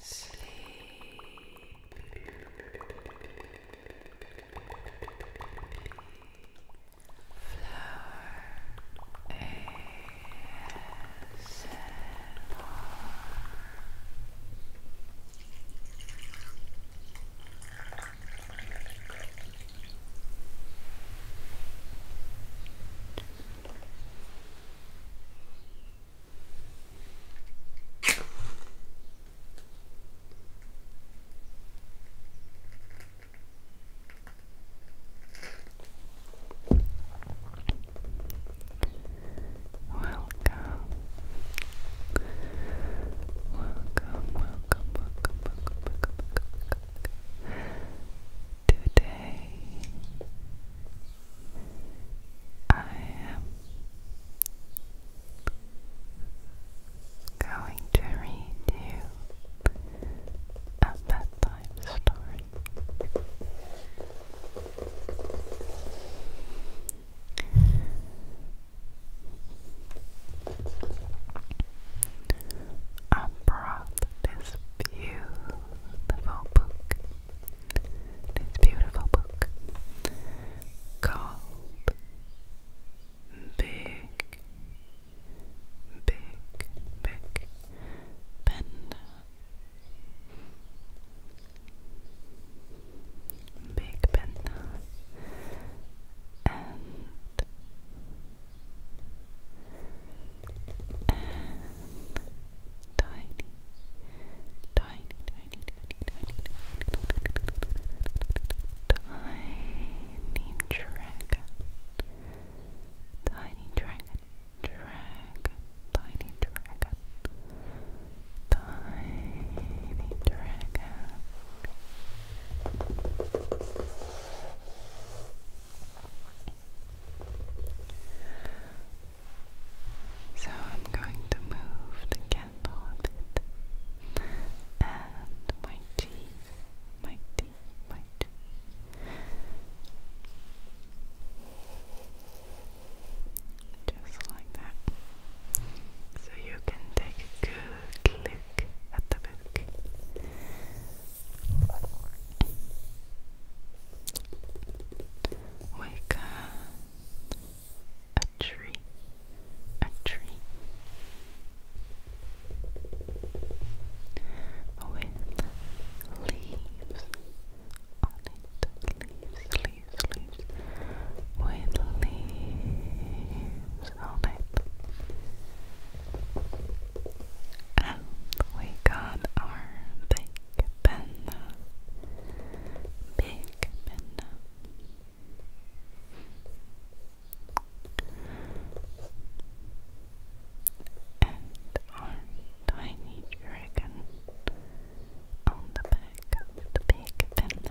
Sleep. Flower Welcome. Welcome, welcome, welcome, welcome, welcome, welcome, Today I am going to read you a bedtime story. I brought this beautiful book this beautiful book called Big, Big, Big Panda. Big Panda and tiny, tiny, tiny, tiny, tiny, tiny dragon, tiny dragon, dragon, tiny dragon, tiny dragon. So I'm going to move the candle And my teeth, my teeth, my teeth. Just like that. So you can take a good look at the book. We can a tree, a tree. With leaves on it, leaves, leaves, leaves. With leaves on it. And we got our big pen Big bend And our tiny dragon on the back of the big bend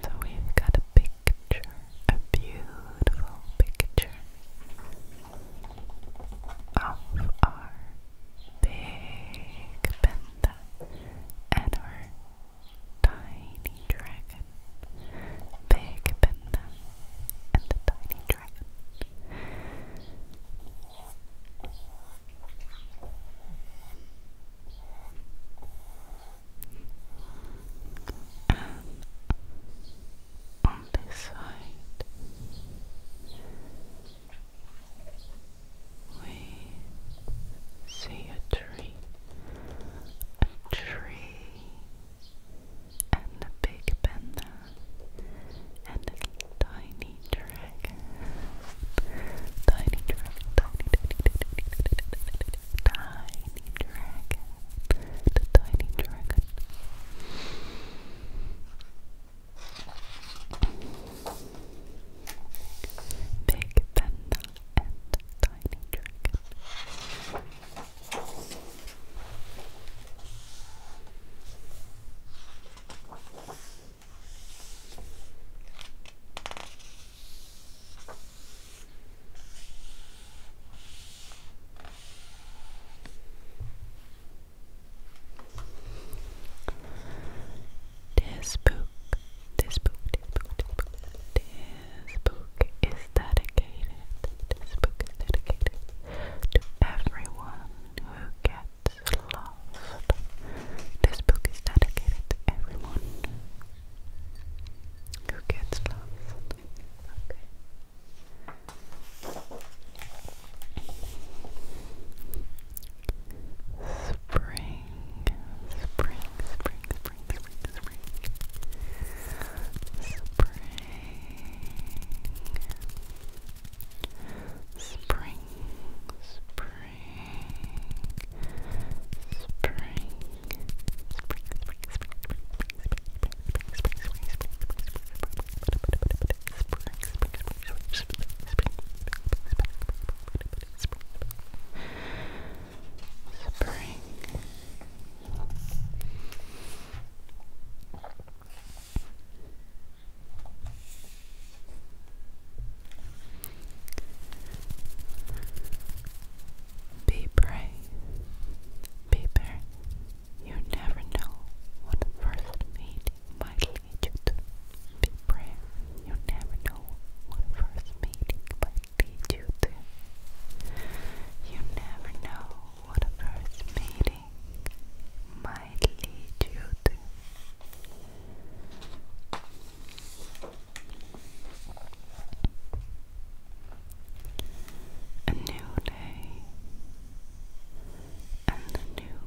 so we've got a picture, a beautiful picture of our big panda and our tiny dragon. Big panda and the tiny dragon. And on this side, we see a tree, a tree and the big panda and a tiny dragon. Tiny dragon, tiny, tiny, tiny, tiny, tiny dragon. The tiny dragon. Big panda and tiny dragon. This book, this book, this book, this book, this book is dedicated. This book is dedicated to everyone who gets lost. This book is dedicated to everyone who gets lost. spring, spring, spring, spring, spring, spring, Spring, spring, spring, spring, spring, spring, Spring be brave, be brave. You never know what first meeting might lead you to. Be brave. You never know what first meeting might lead you to. You never know what a first meeting might lead you to. A new day and a new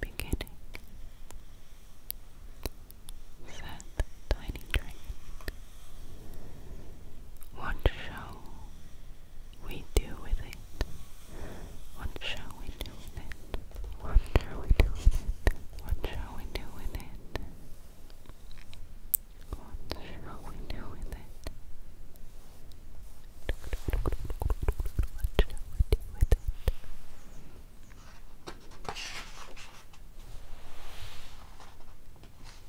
beginning. Set tiny drink what shall we do with it? What shall we do with it? What shall we do with it? What shall we do with it? What shall we do with it? What shall we do with it? Which is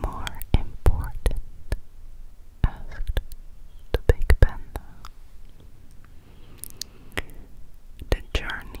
more important? asked the big panda. The journey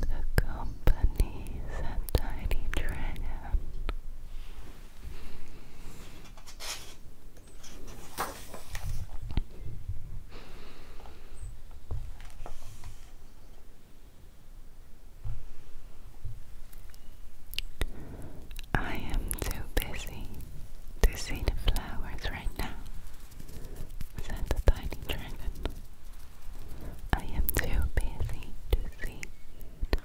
the companies a Tiny Dragon. I am too busy to see the flowers right now said the tiny dragon. I am too busy to see the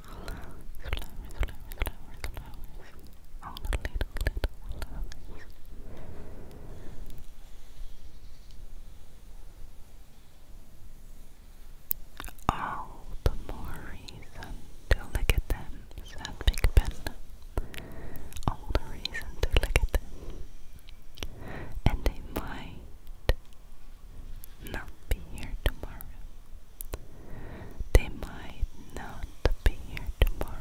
All the more reason to look at them, said Big Ben. All the reason to look at them. And they might not be here tomorrow. They might not be here tomorrow.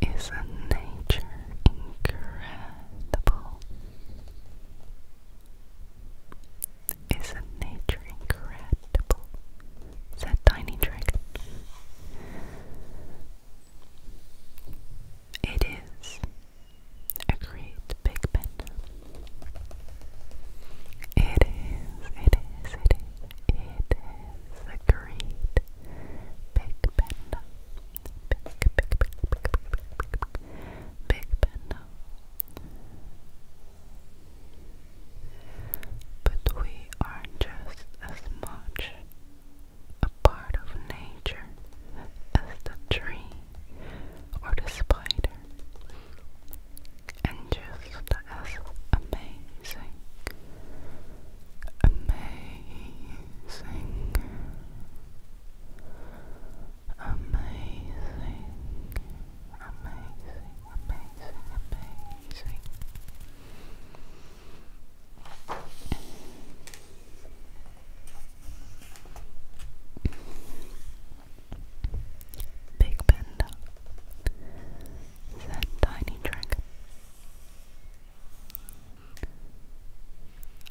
Isn't nature incredible? Isn't nature incredible? Said Tiny Dragon. It is, agreed Big Ben. It is, it is, it is, it is, agreed Big Ben. Big, big, big, big, big, big, big, big panda. But we are just as much a part of nature as the tree or the spider, and just as amazing amazing, amazing, amazing, amazing, amazing. Big Panda said tiny dragon.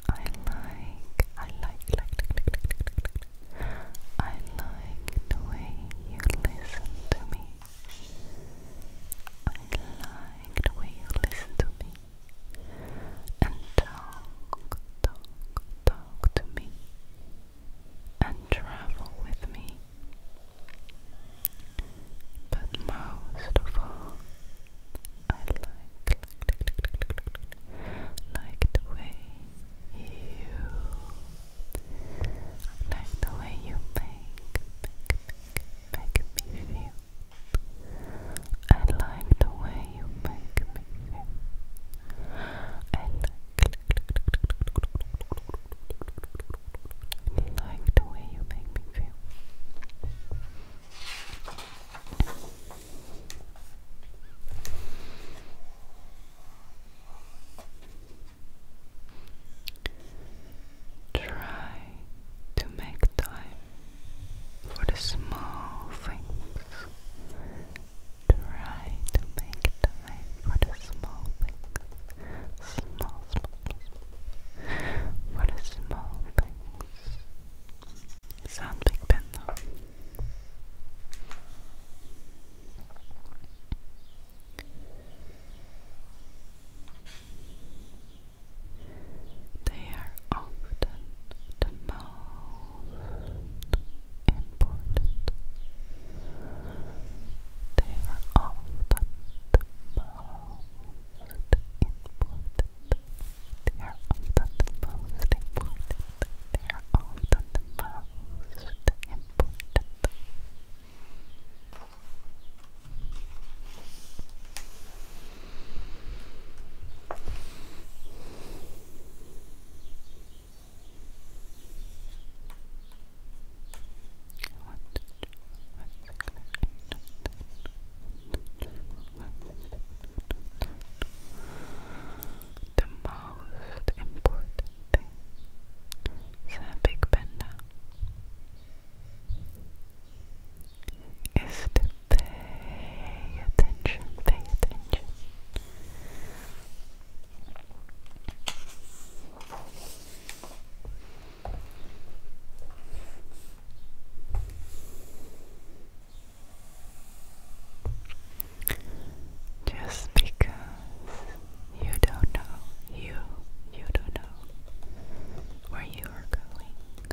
I like, I like, like, like, like, like, like, like, like. I like the way you listen to me. I like the way you listen to me and talk, talk, talk to me and travel with me. But most of all, I like, like, like the way you, like the way you make, make, make, make me feel. I like the way you make me feel. I like, like the way you make me feel. Try to make time for the small things. Try to make time for the small things. Small, small, For the small things. Sandpekpenna. They are often the most important. They are often the most important they are often the most important. They are often the most important. The most important thing a big panda is to pay attention, pay attention. Just because you don't know, you you don't know where you are going,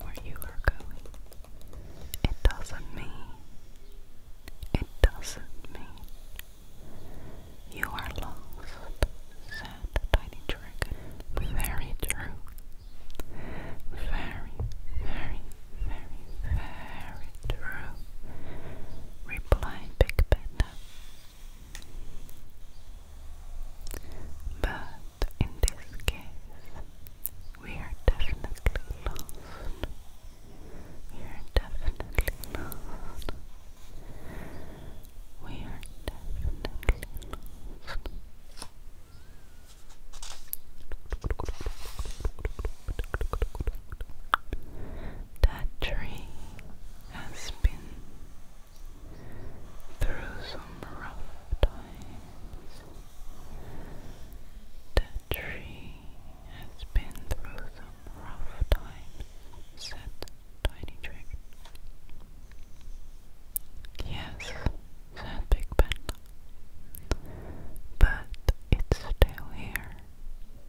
where you are going. It doesn't mean, it doesn't mean you are lost. Said the tiny dragon. Very true. Very, very, very, very true, replied Big Panda. But in this case, we are definitely lost. We are definitely lost. We are definitely lost. That tree has been through some rough times. That tree has been through some rough times, said Tiny Trick. Yes, said Big Ben. But it's still here,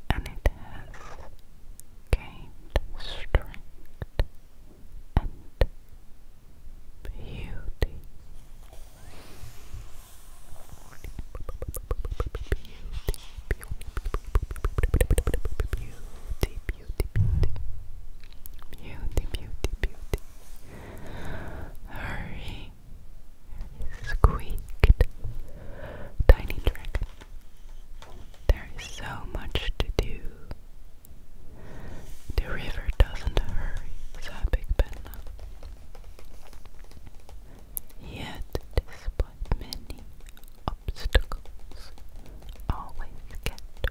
and it has gained strength and beauty. Beauty, beauty, beauty, beauty, beauty. Beauty, Hurry. Squeaked. Tiny dragon. There is so much to do. The river doesn't hurry, said Big Panda. Yet, despite many obstacles, always get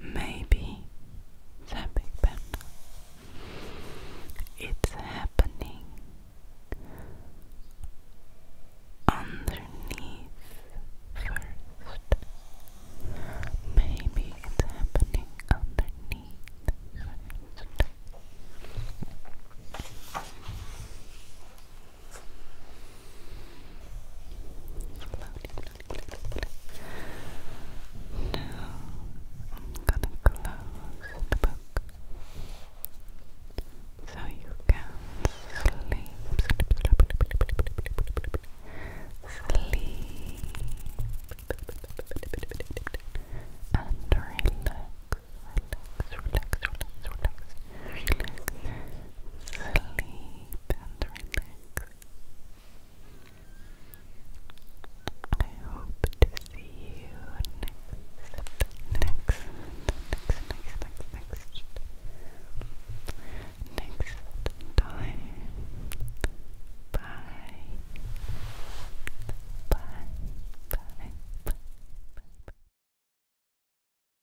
Maybe the Big Bend. It's happening underneath first. Maybe it's happening underneath first. Floaty, I'm gonna close the book so you can sleep. Sleep, sleep, sleep, sleep, sleep. and relax, relax, relax, relax, relax relax, sleep and relax. I hope to see you next, next, next, next, next, next, next time. Bye. Bye. Bye. Bye. Bye.